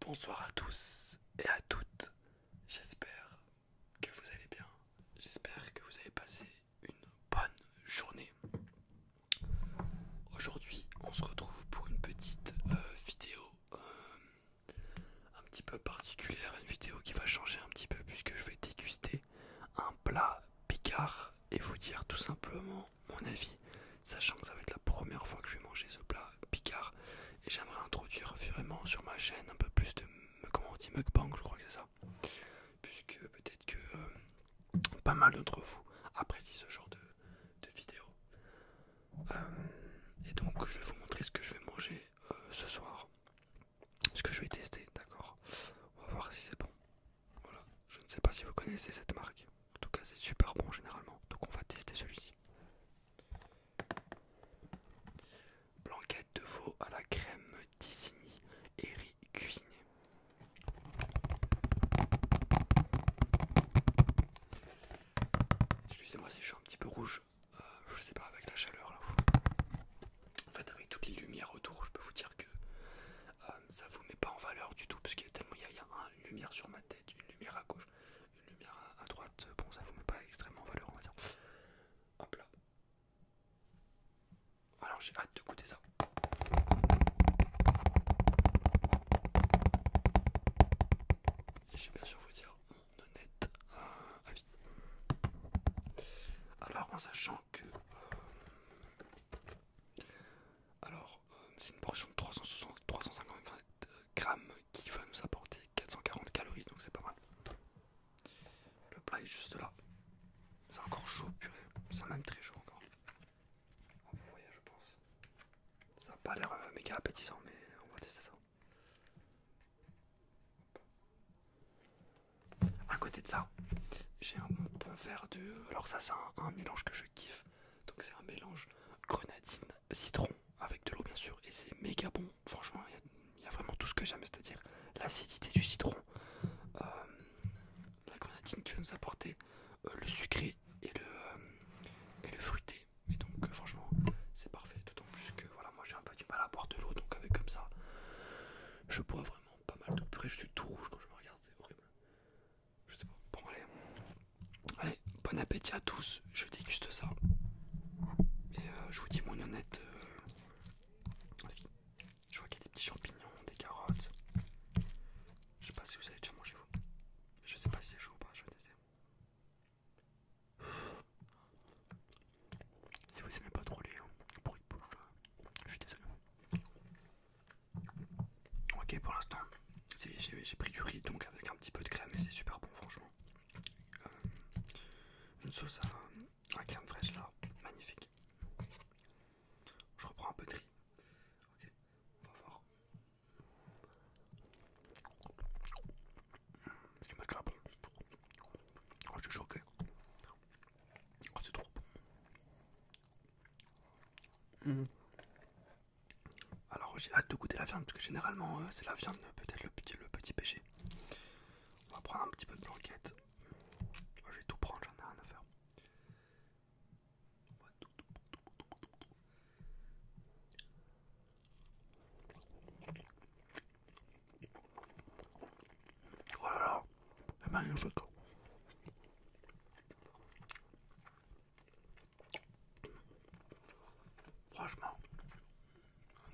Bonsoir à tous et à toutes. J'espère que vous allez bien. J'espère que vous avez passé une bonne journée. Aujourd'hui, on se retrouve pour une petite euh, vidéo euh, un petit peu particulière, une vidéo qui va changer un petit peu puisque je vais déguster un plat picard et vous dire tout simplement mon avis sachant que ça va être la première fois que je vais manger ce plat picard. Et j'aimerais introduire vraiment sur ma chaîne un peu plus de comment on dit mukbang, je crois que c'est ça. Puisque peut-être que euh, pas mal d'entre vous apprécient ce genre de, de vidéo. Euh, et donc je vais vous montrer ce que je vais manger euh, ce soir. Ce que je vais tester, d'accord On va voir si c'est bon. Voilà, je ne sais pas si vous connaissez cette marque. En tout cas, c'est super bon généralement. Donc, on va tester celui-ci. Blanquette de veau à la crème Disney et riz cuisiné. Excusez-moi si je suis un petit peu rouge. Euh, je sais pas, avec la chaleur là. En fait, avec toutes les lumières autour, je peux vous dire que euh, ça vous met pas en valeur du tout, parce qu'il y a tellement il y a une lumière sur ma tête, une lumière à gauche, une lumière à, droite, bon ça vous met pas extrêmement en valeur on va dire. Hop là. Alors j'ai hâte de goûter ça. je vais bien sûr vous dire mon honnête euh, avis. Alors en sachant que euh, alors, euh, c'est une portion de 350 grammes qui va nous apporter 440 calories, donc c'est pas mal. Le plat est juste là. C'est encore chaud, purée. C'est même très chaud encore. En je pense. Ça n'a pas l'air euh, méga appétissant, mais on va tester ça. À côté de ça, j'ai un peu vert Alors, ça, c'est un mélange que je kiffe. Donc c'est un mélange grenadine, citron avec de l'eau bien sûr et c'est méga bon. Franchement, il y, a vraiment tout ce que j'aime, c'est-à-dire l'acidité du citron, euh, la grenadine qui va nous apporter euh, le sucré euh, et le, fruité. Et donc franchement, c'est parfait. D'autant plus que voilà, moi j'ai un peu du mal à boire de l'eau, donc avec comme ça, je bois vraiment pas mal de purée. Je suis tout rouge quand je me regarde, c'est horrible. Je sais pas. Bon, allez. bon appétit à tous. Je déguste ça. Et euh, je vous dis mon honnête. Euh, je vois qu'il y a des petits champignons, des carottes. Je sais pas si vous avez déjà mangé vous. Je sais pas si c'est chaud ou pas, je vais tester. Si vous aimez pas trop les euh, bruits de bouche, je suis désolé. Ok, pour l'instant, j'ai pris du riz donc avec un petit peu de crème et c'est super bon, franchement. Euh, une sauce à, crème fraîche là, magnifique. Je reprends un peu de riz. Ok, on va voir. C'est déjà bon. Oh, je suis choqué. Oh, c'est trop bon. Mmh. Alors j'ai hâte de goûter la viande parce que généralement euh, c'est la viande peut-être le petit, le péché. On va prendre un petit peu de blanquette. je vais tout prendre, j'en ai rien à faire. Oh là là, c'est magnifique. Franchement,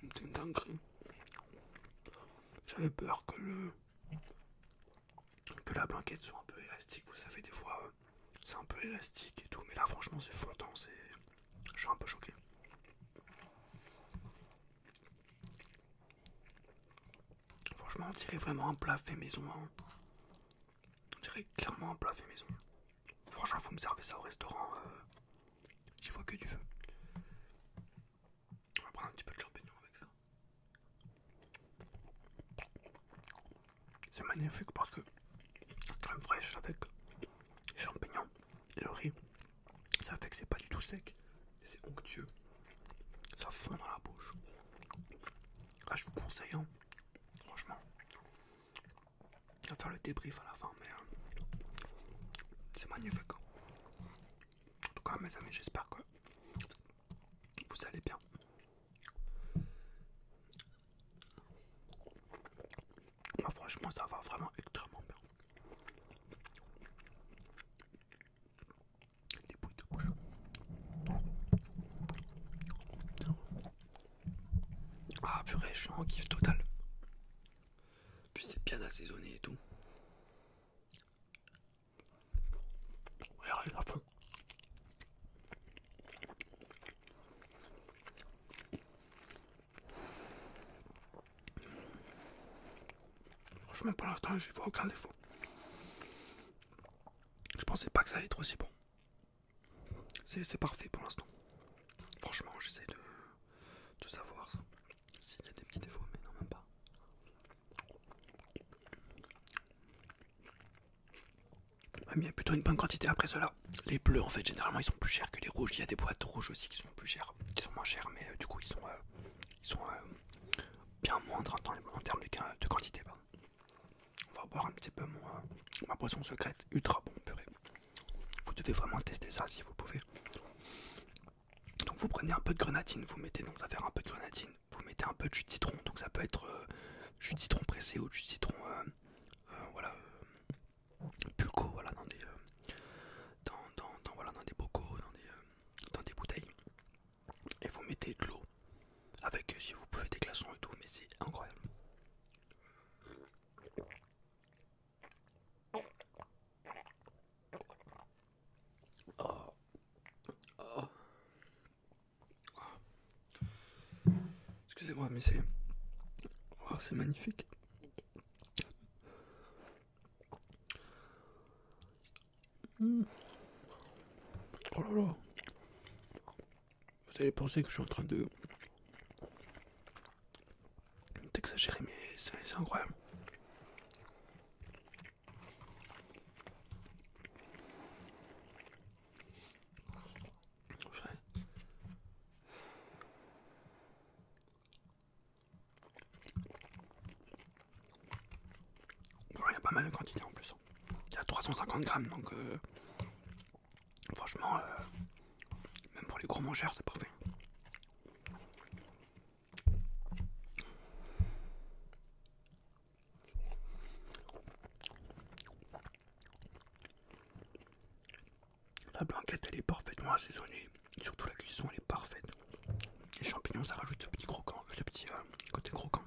c'est une dinguerie. J'avais peur que le que la blanquette soit un peu élastique. Vous savez, des fois, euh, c'est un peu élastique et tout. Mais là, franchement, c'est fondant. Je suis un peu choqué. Franchement, on dirait vraiment un plat fait maison. Hein. On dirait clairement un plat fait maison. Franchement, faut me servir ça au restaurant, euh, j'y vois que du feu. On va prendre un petit peu de champignon avec ça. C'est magnifique parce que la crème fraîche avec les champignons et le riz, ça fait que c'est pas du tout sec, c'est onctueux, ça fond dans la bouche. Ah, je vous conseille, hein, Franchement, je va faire le débrief à la fin, mais euh, c'est magnifique. En tout cas, mes amis, j'espère que vous allez bien. Bah, franchement, ça va vraiment extrêmement bien. Ah purée, je suis en kiff total. Puis c'est bien assaisonné et tout. Regardez la fin. Franchement pour l'instant j'ai vois aucun défaut. Je pensais pas que ça allait être aussi bon. C'est parfait pour l'instant. Franchement, j'essaie de, savoir s'il y a des petits défauts, mais non, même pas. mais il y a plutôt une bonne quantité après cela. Les bleus, en fait, généralement, ils sont plus chers que les rouges. Il y a des boîtes rouges aussi qui sont plus chères, sont moins chères, mais euh, du coup, ils sont, euh, euh, bien moindres en, termes de, quantité. On va boire un petit peu ma boisson secrète ultra bon purée. Vous devez vraiment tester ça si vous pouvez. Donc vous prenez un peu de grenadine, vous mettez dans un peu de grenadine, vous mettez un peu de jus de citron, donc ça peut être euh, jus de citron pressé ou jus de citron euh, euh, voilà pulco voilà dans des dans, dans, voilà, dans des bocaux, dans des, dans des bouteilles et vous mettez de l'eau avec si vous pouvez des glaçons et tout mais c'est incroyable oh. excusez-moi mais c'est oh, magnifique Oh là là. Vous allez penser que je suis en train de. d'exagérer, mais c'est incroyable. Il y a pas mal de quantité en plus. Hein. C'est Il 350 grammes, donc euh, franchement, euh, même pour les gros mangeurs, c'est parfait. La blanquette, elle est parfaitement assaisonnée. Surtout la cuisson, elle est parfaite. Les champignons, ça rajoute ce petit croquant, ce petit euh, côté croquant.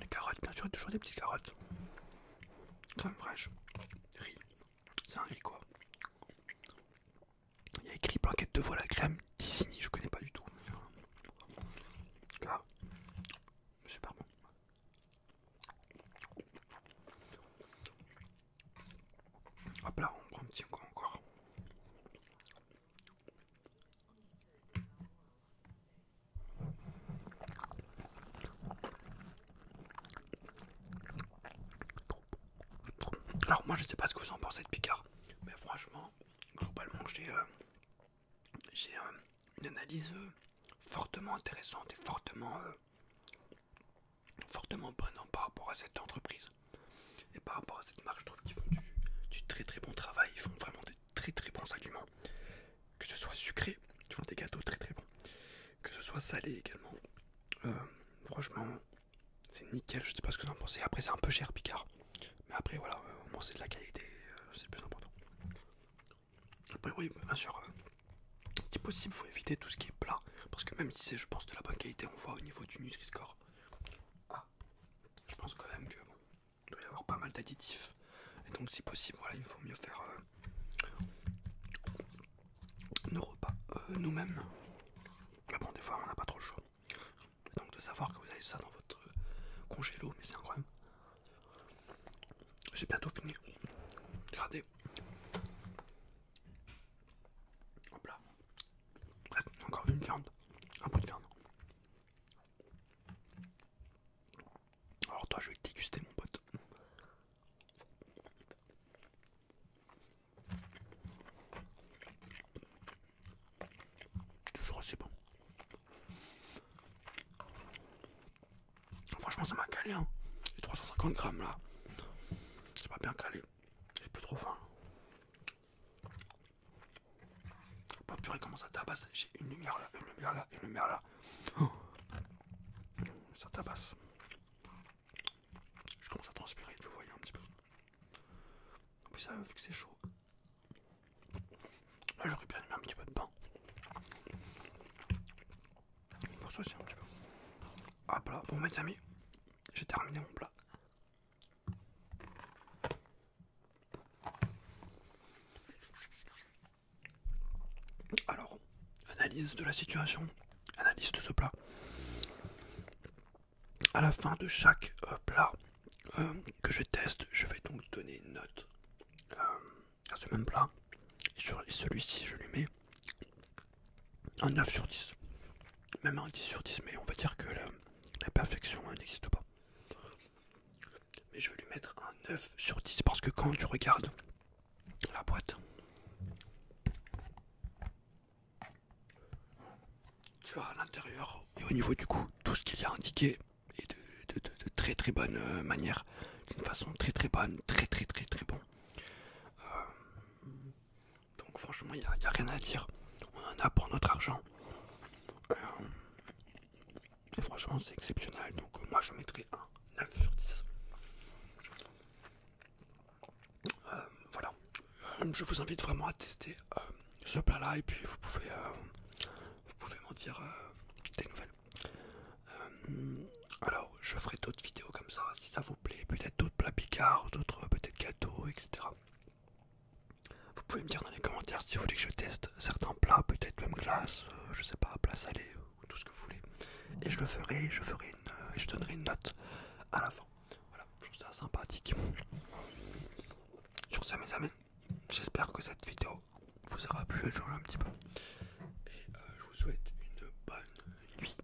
Les carottes, bien sûr, toujours des petites carottes. Crème fraîche, riz, c'est un riz quoi. Il y a écrit plaquette de voile à crème, Disney, je connais pas du tout. super bon. Hop là, on prend un petit coup encore. Alors moi je sais pas ce que vous en pensez de Picard, mais franchement, globalement j'ai euh, euh, une analyse euh, fortement intéressante et fortement, fortement bonne par rapport à cette entreprise. Et par rapport à cette marque, je trouve qu'ils font du, très très bon travail, ils font vraiment des très très bons aliments. Que ce soit sucré, ils font des gâteaux très très bons. Que ce soit salé également. Euh, franchement, c'est nickel, je sais pas ce que vous en pensez. Après, c'est un peu cher, Picard. Mais après, voilà, euh, au moins c'est de la qualité, euh, c'est le plus important. Après, oui, bien sûr, si possible, faut éviter tout ce qui est plat. Parce que même si c'est, je pense, de la bonne qualité, on voit au niveau du nutriscore. score ah, je pense quand même que doit y avoir pas mal d'additifs. Et donc si possible, voilà, il faut mieux faire euh, nos repas euh, nous-mêmes. Mais bon, des fois on n'a pas trop le choix. donc de savoir que vous avez ça dans votre congé congélo, mais c'est incroyable. J'ai bientôt fini. Regardez. Hop là. Encore une viande, un peu de viande. Alors toi, je vais te déguster mon pote. Toujours aussi bon. Franchement, ça m'a calé. Hein. Les 350 grammes là, c'est pas bien calé. J'ai plus trop faim. Pas oh, purée comment ça tabasse, j'ai une lumière là, une lumière là, une lumière là. Oh. Ça tabasse. Je commence à transpirer, vous voyez un petit peu. En plus ça vu que c'est chaud. Là ah, j'aurais bien aimé un petit peu de pain. Pour ça aussi un petit peu. Hop là, bon mes amis, j'ai terminé mon plat. Alors, analyse de la situation, analyse de ce plat. À la fin de chaque euh, plat euh, que je teste, je vais donc donner une note euh, à ce même plat. Et, celui-ci, je lui mets un 9 sur 10 même un 10 sur 10, mais on va dire que la, perfection hein, n'existe pas. Mais je vais lui mettre un 9 sur 10 parce que quand tu regardes la boîte, tu as à l'intérieur et au niveau du coup tout ce qu'il y a indiqué et de, très très bonne euh, manière, d'une façon très très bonne, très très très très bon. Euh, donc franchement, il n'y a, rien à dire. On en a pour notre argent. Euh, et franchement, c'est exceptionnel. Donc euh, moi, je mettrai un 9 sur 10. Euh, voilà. je vous invite vraiment à tester ce plat-là et puis vous pouvez, vous pouvez m'en dire des nouvelles. alors, je ferai d'autres vidéos comme ça si ça vous plaît. Peut-être d'autres plats picards, d'autres peut-être gâteaux, etc. Vous pouvez me dire dans les commentaires si vous voulez que je teste certains plats, peut-être même glace, euh, je sais pas, plat salé ou tout ce que vous voulez. Et je le ferai, je ferai une, euh, et je donnerai une note à la fin. Voilà, je trouve ça sympathique. Sur ce, mes amis, j'espère que cette vidéo vous aura plu et un petit peu. Et euh, je vous souhaite une bonne nuit.